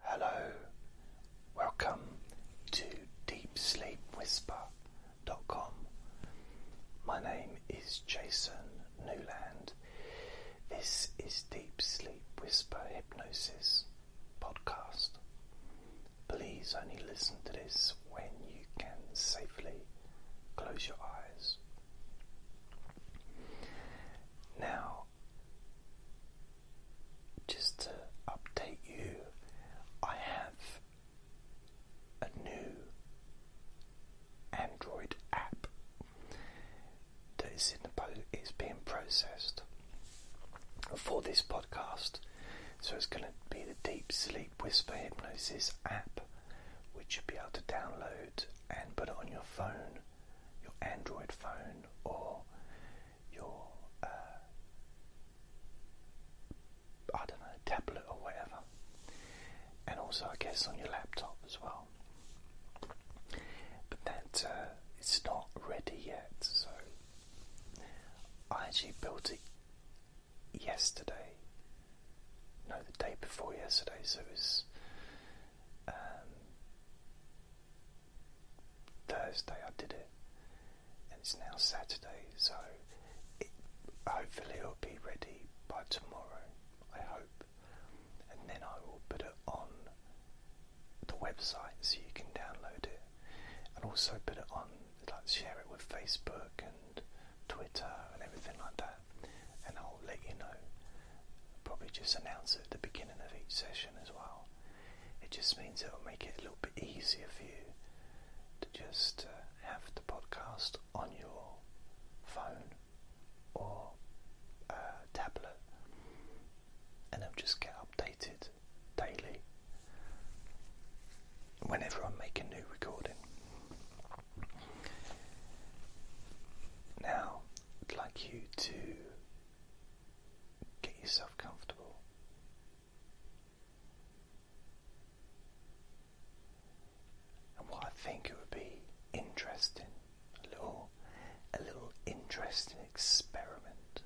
Hello, welcome to DeepSleepWhisper.com. My name is Jason Newland. This is Deep Sleep Whisper Hypnosis Podcast. Please only listen to this when you can safely close your eyes. Now, just to update you, I have a new Android app that is in the it's being processed for this podcast. So it's going to be the Deep Sleep Whisper Hypnosis app, which you'll be able to download and put on your phone, your Android phone, or your uh, I don't know tablet or whatever, and also I guess on your laptop as well. But that uh, it's not ready yet, so I actually built it yesterday. No, the day before yesterday, so it was um, Thursday I did it, and it's now Saturday, so hopefully it'll be ready by tomorrow. I hope, and then I will put it on the website so you can download it, and also put it on like share it with Facebook and Twitter and everything like that, and I'll let you know probably just announce it at the beginning of each session as well. It just means it will make it a little bit easier for you to just uh, have the podcast on your phone or uh, tablet and it'll just get updated daily whenever I make a new recording. Now, I'd like you to get yourself comfortable. And what I think it would be interesting, a little, a little interesting experiment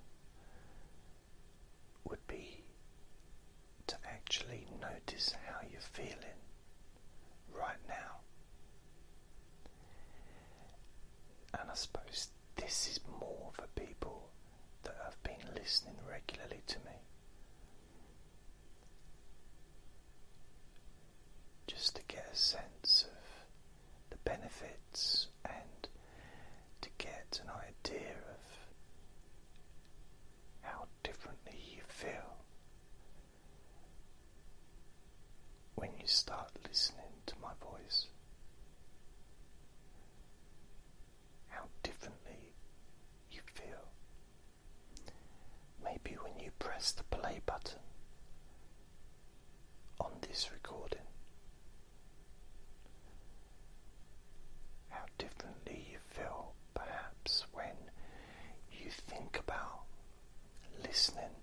would be to actually notice how you're feeling right now. And I suppose this is more for people that have been listening regularly to me. Just to get a sense of the benefits and to get an idea of how differently you feel when you start listening to my voice, how differently you feel. Maybe when you press the play button on this recording, how differently you feel perhaps when you think about listening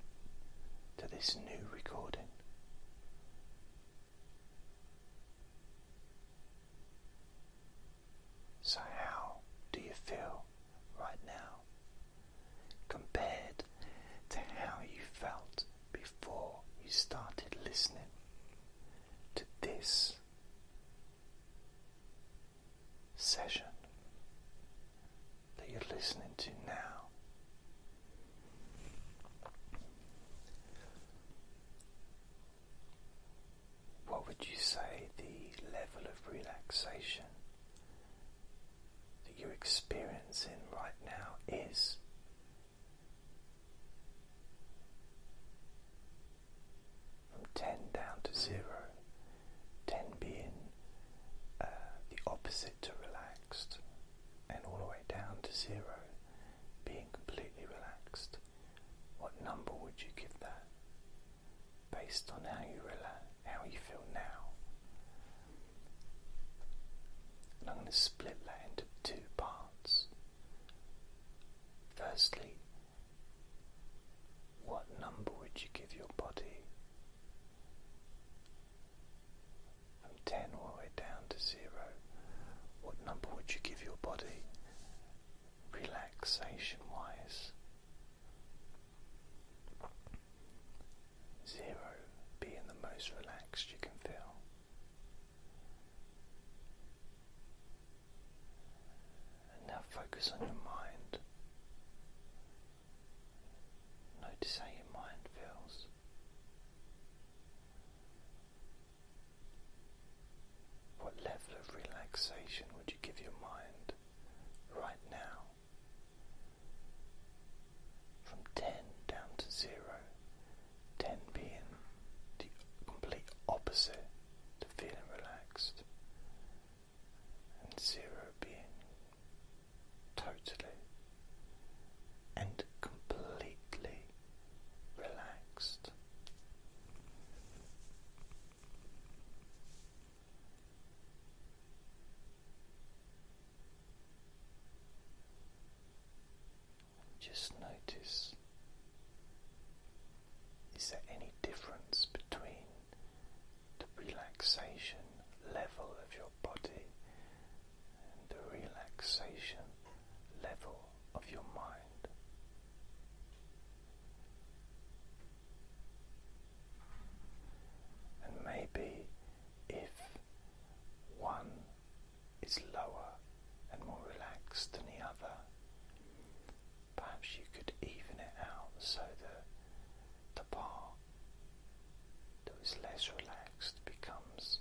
to this new recording. So, how do you feel right now compared to how you felt before you started listening to this session? that you're listening to now. What would you say the level of relaxation that you're experiencing right now is? From 10 down to 0, 10 being uh, the opposite to relaxed, and all the way down to zero, being completely relaxed. What number would you give that? Based on how you relax, how you feel now. And I'm going to split that into two parts. Firstly, what number would you give your body? and 10 all the way down to 0, what number would you give your body relaxation wise? 0 being the most relaxed you can feel. And now focus on your mind. Notice how your mind feels. What level of relaxation would you give your mind right now? From 10 down to 0, 10 being the complete opposite to feeling relaxed, and 0 being totally and completely relaxed. Just notice is there any difference between the relaxation level of your body and the relaxation level of your mind. And maybe if one is lower and more relaxed than the other, perhaps you could even it out so that the bar that is less relaxed becomes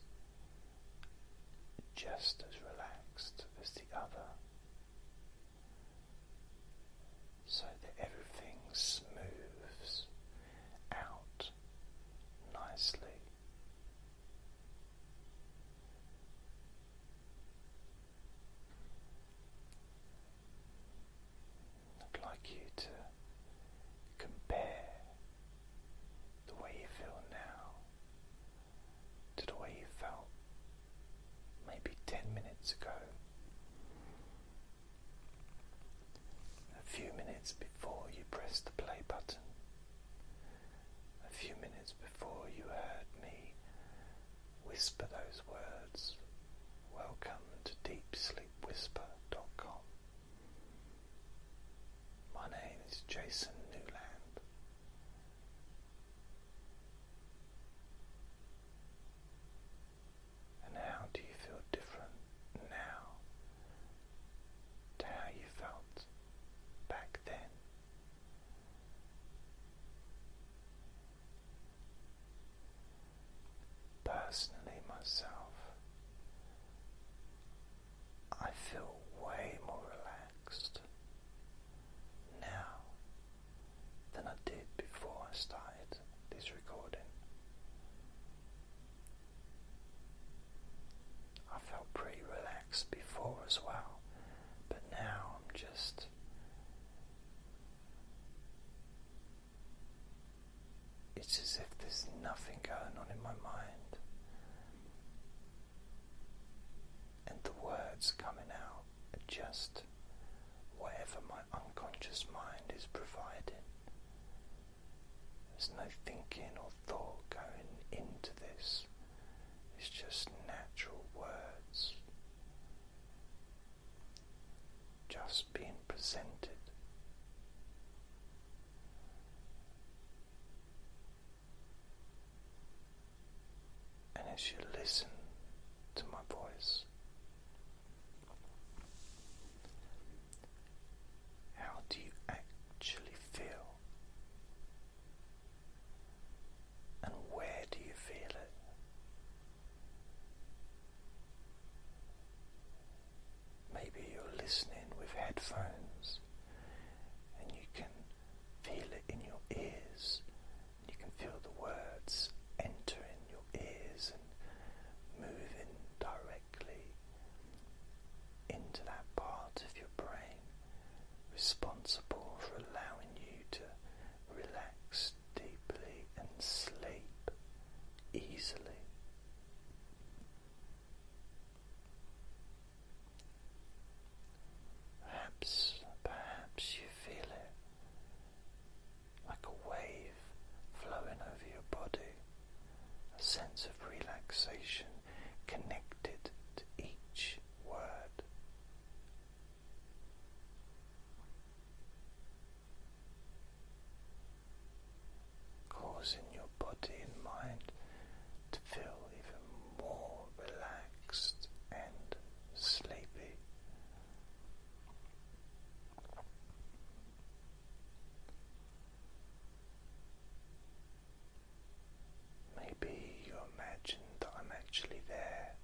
just as relaxed as the other, so that everything smooths out nicely. I'd like you to compare the way you feel now to the way you felt maybe 10 minutes ago, a few minutes before you pressed the play button, a few minutes before you heard me whisper those words. Welcome to deepsleepwhisper.com. My name is Jason Newland. And how do you feel different now to how you felt back then? Personally, myself, I feel way more relaxed now than I did before I started this recording. I felt pretty relaxed before as well, but now I'm just it's as if there's nothing going on in my mind, and the words coming out are just whatever my unconscious mind is providing. There's no thinking or thought going into this, it's just natural words just being presented. And as you listen to my voice, how do you actually feel? And where do you feel it? Maybe you're listening with headphones and you can feel it in your ears. You can feel the words entering your ears and moving directly into that part of your brain responsible for allowing you to relax deeply and sleep easily. Perhaps, perhaps you feel it like a wave flowing over your body, a sense of relaxation connected to each word causing your body and mind to feel even more relaxed and sleepy. Maybe you imagine that I'm actually there,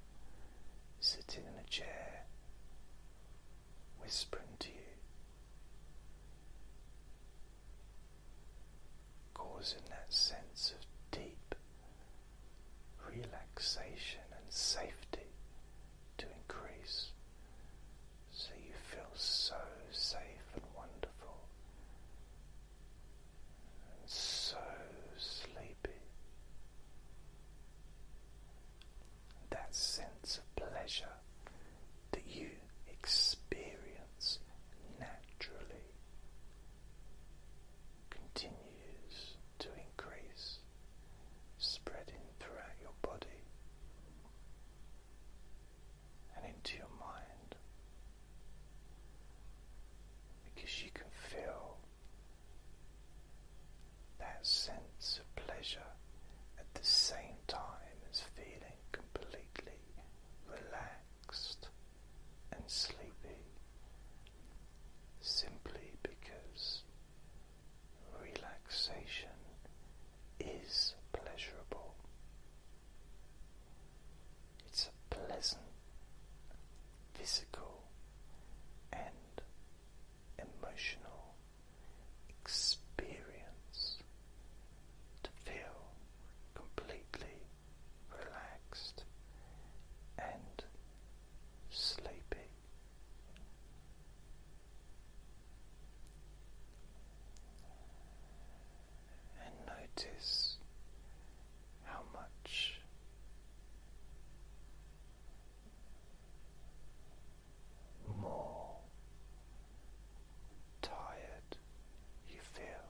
sitting in a chair, whispering to you, causing that sense of deep relaxation and safety to increase so you feel so safe and wonderful and so sleepy that sense of pleasure that you experience naturally continues to increase, spreading throughout your body and into your mind because you can feel that sense of pleasure at the same time as feeling completely relaxed and sleepy simply because relaxation is pleasurable. It's a pleasant physical and emotional experience to feel completely relaxed and sleepy. And notice how much more tired you feel.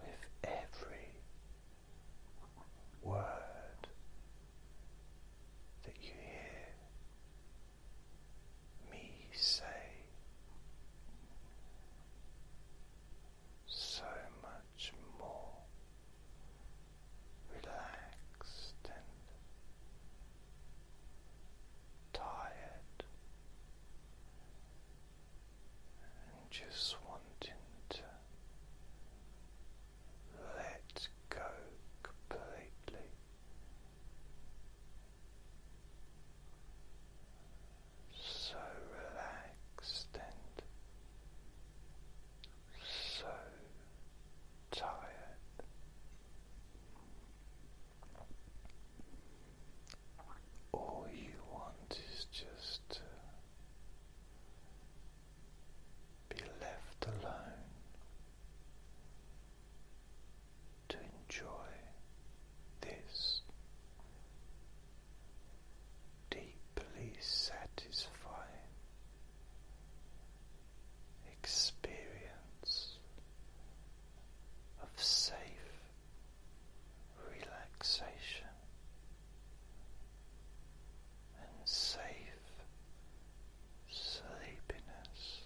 With every word that you hear me say, so much more relaxed and tired, and just wanting to let go completely. So relaxed and so tired. All you want is just to be left alone to enjoy this deeply satisfying experience of safe relaxation and safe sleepiness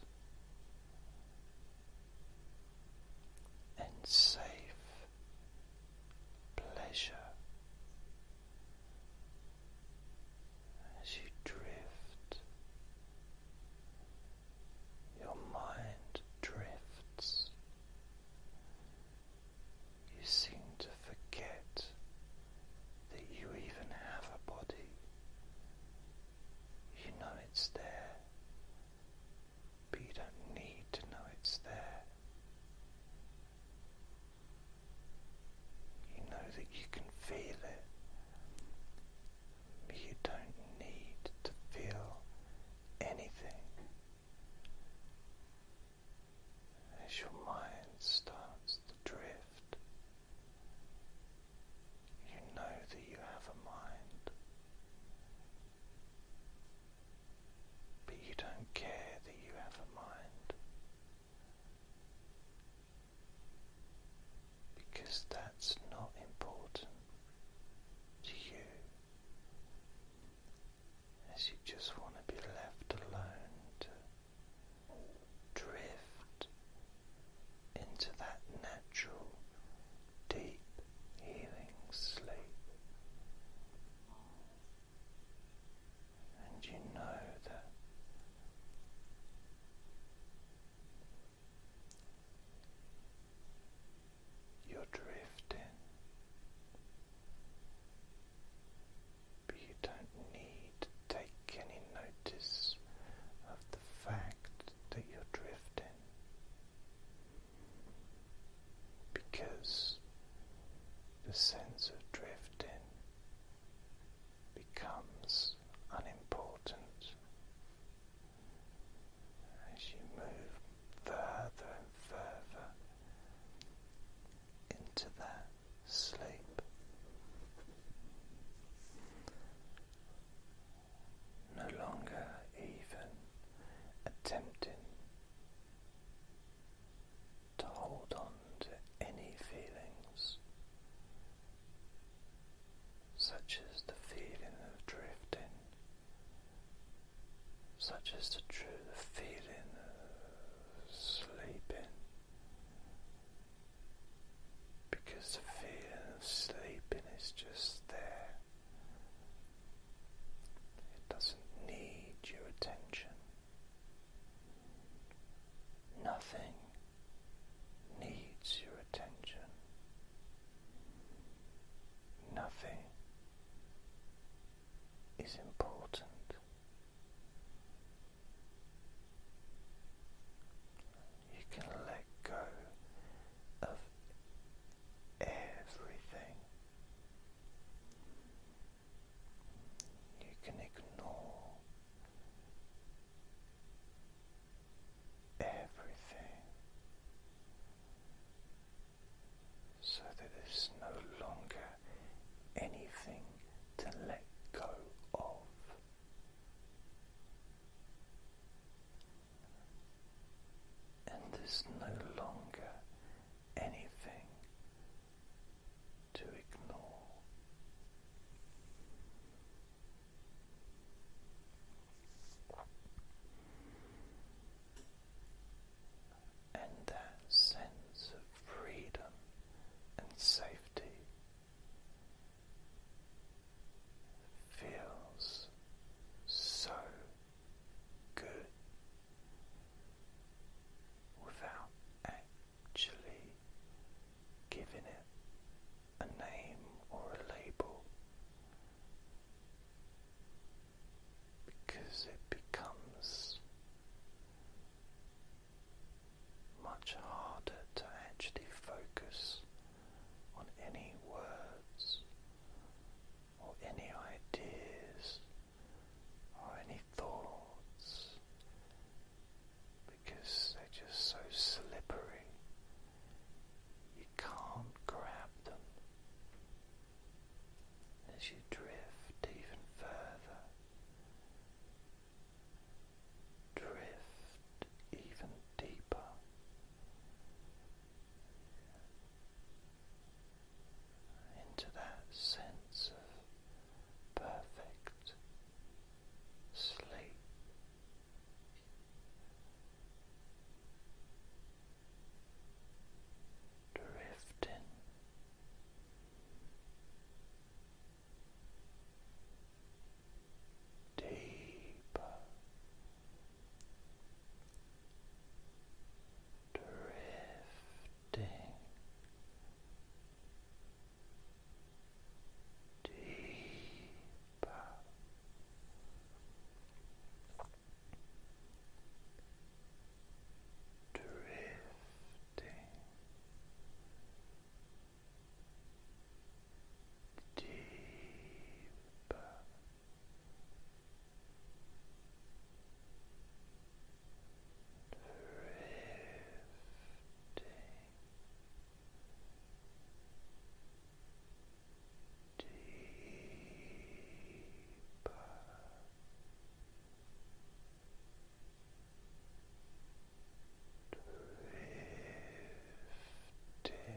and safe pleasure as you drift, your mind drifts. You seem to forget that you even have a body. You know it's there, but you don't need to know it's there. You know that you can feel it, you don't need to feel anything. As your mind starts to drift, you know that you have a mind, but you don't care that you have a mind because that's not important to you, as you just want to be left alone to drift into that natural, deep, healing sleep and you know that you're drifting, but you don't need to take any notice of the fact that you're drifting. Because the sense of drifting becomes unimportant as you move further and further into that sleep. No longer even attempting to hold on to any feelings, such as the feeling of drifting, such as the, true, feeling of sleeping, because the feeling of sleeping is just there. It doesn't need your attention. Nothing needs your attention. Nothing is important. You can let go of everything you can ignore everything so that there's no longer anything to let go of. And there's no longer anything to ignore. And that sense of freedom and safety feels so good without actually giving it a name or a label because it becomes much harder to actually focus on any words or any ideas or any thoughts because they're just so slippery. You can't grab them. As you drift even further, drift even deeper, into that sense of perfect sleep. Drifting deeper, drifting deeper drifting deeper deeper Drifting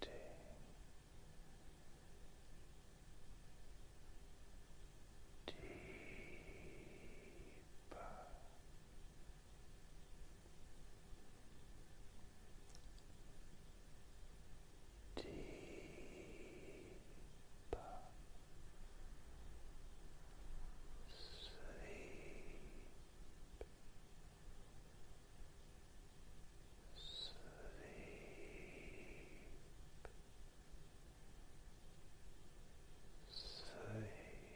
Drifting. Deeper deeper sleep, sleep, sleep.